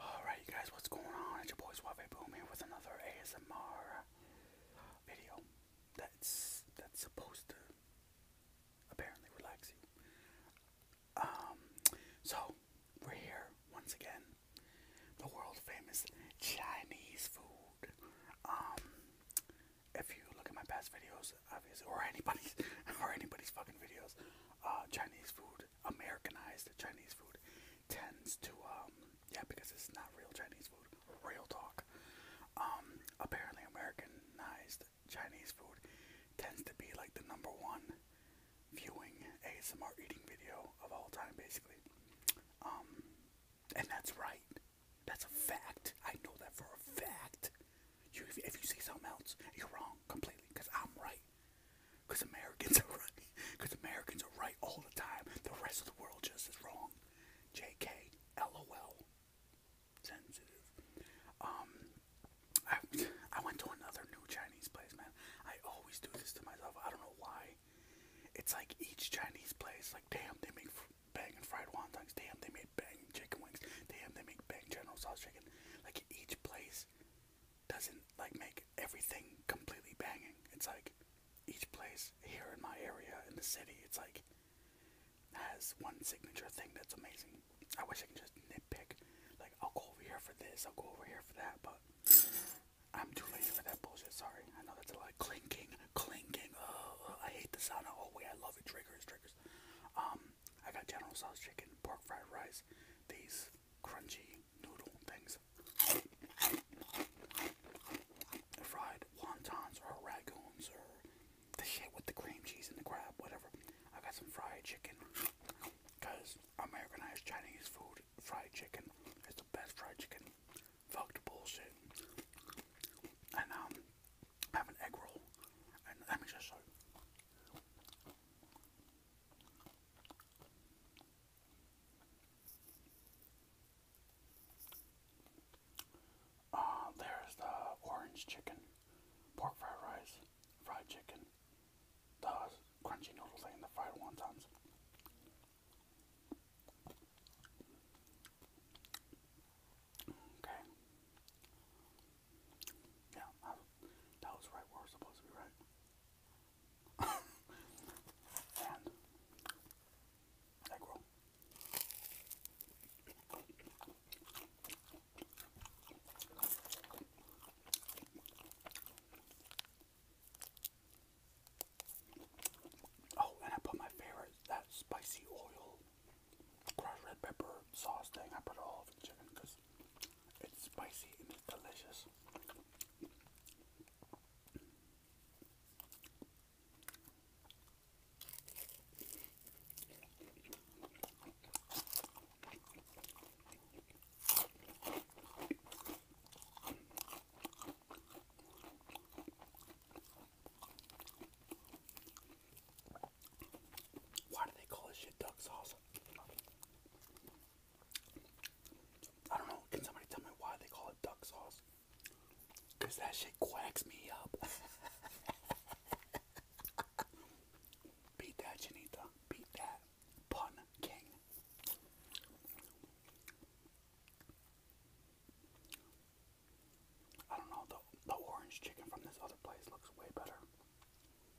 Alright, you guys, what's going on? It's your boy Suave Boom here with another ASMR video that's that's supposed to apparently relax you. Um, so we're here once again, the world famous Chinese food. Um, if you look at my past videos, obviously, or anybody's, or anybody's fucking videos, uh, Chinese food Americanized Chinese food tends to, um, yeah, because it's not real Chinese food, real talk. Um, apparently, Americanized Chinese food tends to be like the number one viewing ASMR eating video of all time, basically. Um, and that's right. That's a fact. I know that for a fact. You, if, if you see something else, you're wrong completely, because I'm right. Because Americans are right. Because Americans are right all the time. The rest of the world just is wrong. JK, LOL. Sensitive. Um, I, I went to another new Chinese place, man. I always do this to myself. I don't know why. It's like each Chinese place, like, damn, they make bang and fried wontons. Damn, they make bang chicken wings. Damn, they make bang general sauce chicken. Like, each place doesn't like make everything completely banging. It's like each place here in my area in the city, it's like has one signature thing that's amazing. I wish I could just nitpick. Like I'll go over here for this, I'll go over here for that, but I'm too lazy for that bullshit. Sorry, I know that's a lot clinking, clinking. Oh, I hate the sound. Oh wait, I love it. Triggers, triggers. Um, I got General Sauce chicken, pork fried rice, these crunchy noodle things. Fried wontons or ragoons or the shit with the cream cheese and the crab, whatever. I got some fried chicken because Americanized Chinese food, fried chicken, is the best fried chicken. Fuck the bullshit. And um, have an egg roll. And let me just show uh, there's the orange chicken, pork fried rice, fried chicken, the crunchy noodle thing, the fried wontons. Okay. Yeah, that was right where it was supposed to be, right? and egg Oh, and I put my favorite, that spicy oil, crushed red pepper sauce thing. I put it all over the chicken because it's spicy and it's delicious. Why do they call this shit duck sauce? I don't know. Can somebody tell me why they call it duck sauce? Because that shit quacks me up. Beat that, Janita. Beat that. Pun King. I don't know. The, the orange chicken from this other place looks way better.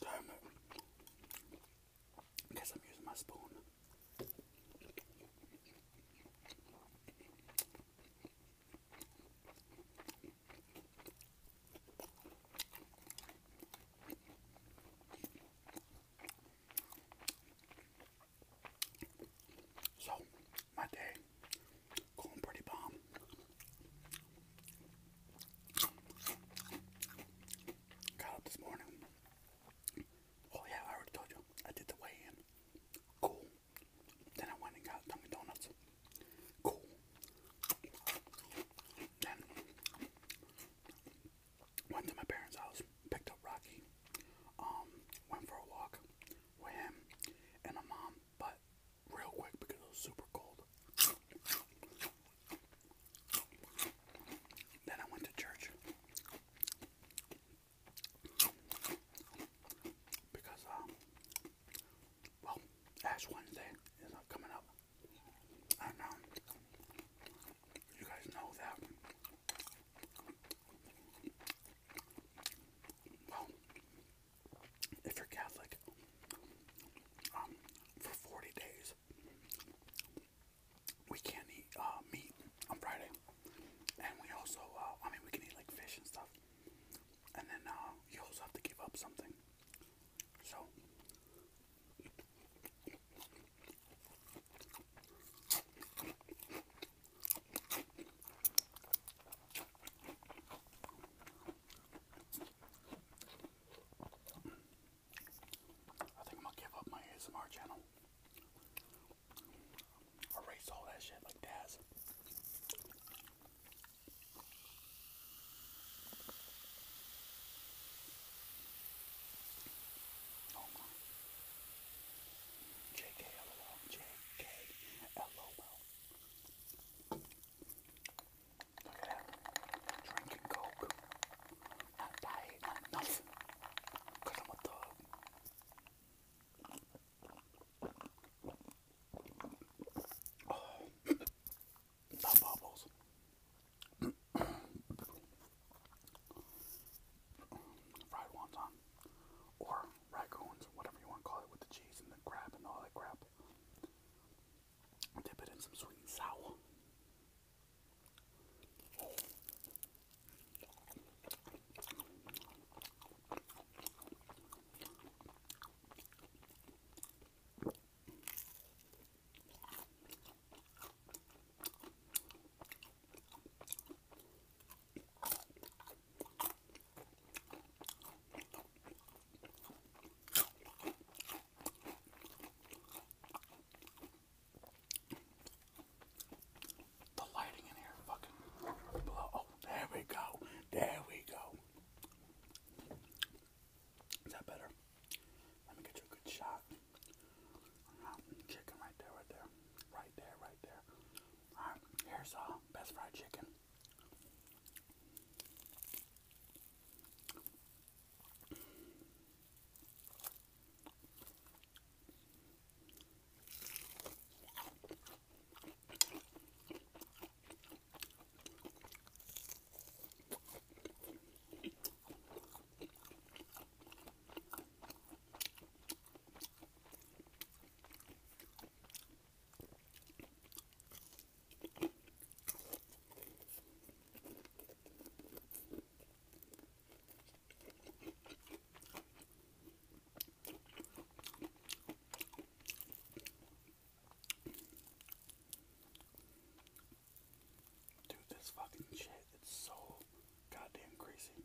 Damn it. I guess I'm using my spoon. So, my day going pretty bomb. Got up this morning. Oh yeah, I already told you. I did the weigh-in. Cool. Then I went and got Dunkin' Donuts. Cool. Then went to my parents' house, picked up Rocky. Um, went for a walk with him and my mom, but real quick because it was super cold. Then I went to church because, um, well, Ash Wednesday is coming up. I know. You guys know that well, if you're Catholic, um, for 40 days, we can't eat uh, meat on Friday. And we also, uh, I mean, we can eat like fish and stuff. And then uh, you also have to give up something. So. I think I'm gonna give up my ASMR channel. Erase all that shit like Daz. Oh JK Look at that. Drinking Coke. Not diet, nothing. Because I'm a thug. Oh. bubbles. Fried wonton. Or raccoons, whatever you want to call it, with the cheese and the crab and all that crap. Dip it in some sweet and sour. The lighting in here fucking blow. Oh, there we go. There we go. Is that better? Let me get you a good shot. Chicken right there, right there. Right there, right there here's uh, best fried chicken. Dude, this fucking shit, it's so goddamn crazy.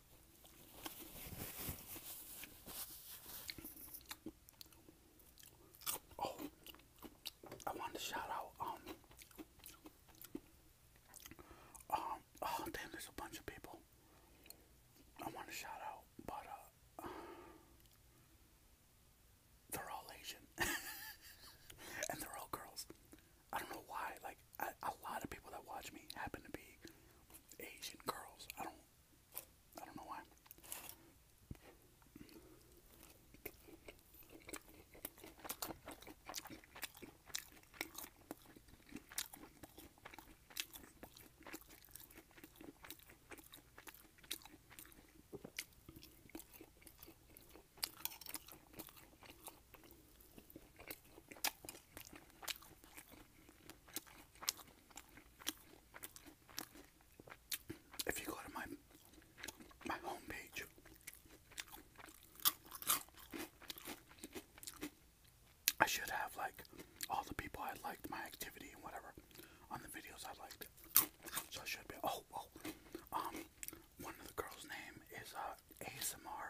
Oh, I wanted to shout out, um, um, oh damn, there's a bunch of people I want to shout out, but, uh, they're all Asian, and they're all girls, I don't know why, like, a lot of people that watch me happen to be Asian girls. I don't I don't know why. If you go to my my homepage, I should have like all the people I liked, my activity and whatever, on the videos I liked. So I should be. Oh, oh. Um, one of the girls' name is uh, ASMR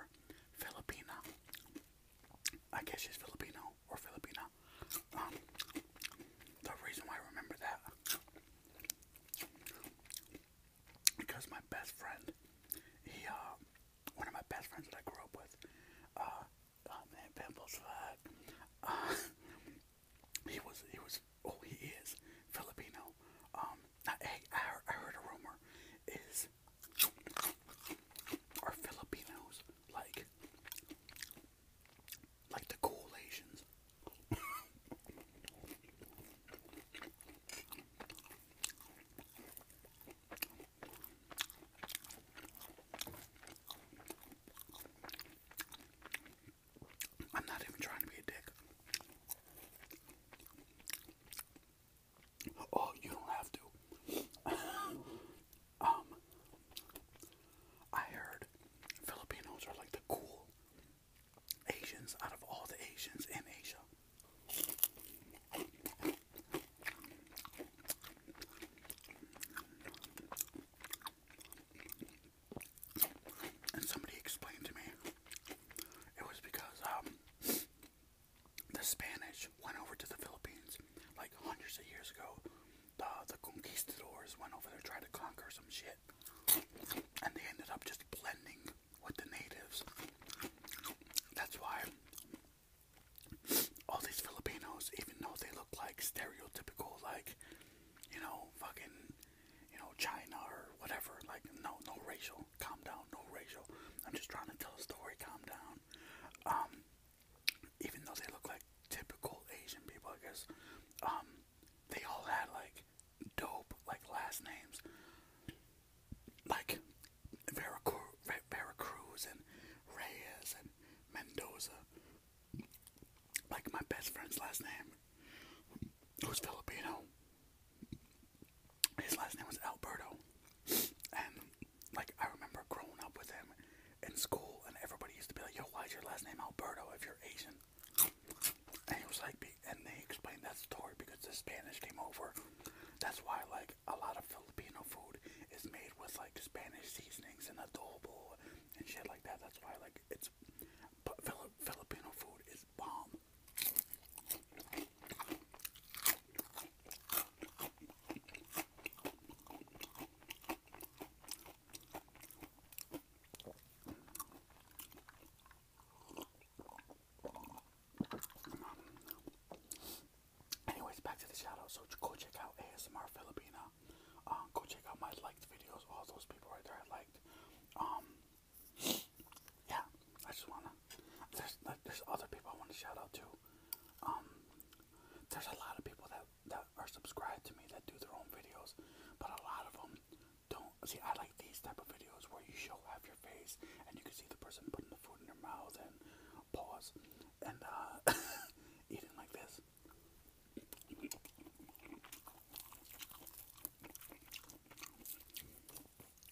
Filipina. I guess she's Filipino or Filipina. Um, the reason why I remember that because my best friend, he uh, one of my best friends that I grew up with, uh, oh, man, Pimples, uh, he was he was oh he is Filipino. Um, I heard, a rumor are Filipinos, like like the cool Asians. I'm not even trying to be a dick. Oh, you don't have to. um, I heard Filipinos are like the cool Asians out of all the Asians in Asia. And somebody explained to me it was because um the Spanish went over to the Philippines like hundreds of years ago. The, conquistadors went over there trying to conquer some shit. And they ended up just blending with the natives. That's why all these Filipinos, even though they look like stereotypical, like, you know, fucking, you know, China or whatever, like, no, no racial Calm down, no racial. I'm just trying to tell a story. Calm down. Um, even though they look like typical Asian people, I um, they all had like dope like last names, like Vera Veracruz and Reyes and Mendoza. Like my best friend's last name, who's Filipino, his last name was Alberto, and like I remember growing up with him in school, and everybody used to be like, "Yo, why your last name Alberto if you're Asian?" And he was like, and they explained that story because the Spanish came over. That's why like a lot of Filipino food is made with like Spanish seasonings and adobo and shit like that. That's why like it's Filipino food is bomb. Anyways, back to the shadow. So go check out ASMR Filipina. Um, go check out my liked videos. All those people right there I liked. Um, yeah, I just wanna. There's there's other people I want to shout out to. Um, there's a lot of people that that are subscribed to me that do their own videos, but a lot of them don't. See, I like these type of videos where you show half your face and you can see the person putting the food in their mouth and pause and uh, eating like this.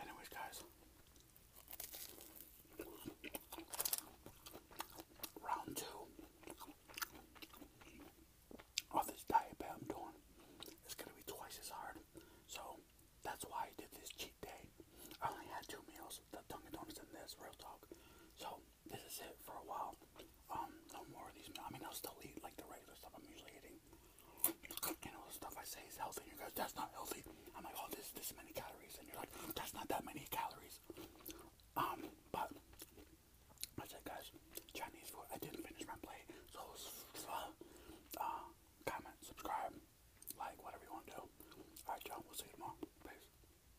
Anyways, guys, round two of this diet I'm doing is going to be twice as hard. So that's why I did this cheat day. I only had two meals the Dunkin' Donuts and this, real talk. So this is it for a while. Um, no more of these. I mean, I'll still eat like the regular stuff I'm usually eating. You know, the stuff I say is healthy, and you guys, that's not healthy. I'm like, oh, this this many calories, and you're like, that's not that many calories. Um, but that's it, guys. Chinese food. I didn't finish my plate, so uh, comment, subscribe, like, whatever you want to alright you right, y'all. We'll see you tomorrow. Peace.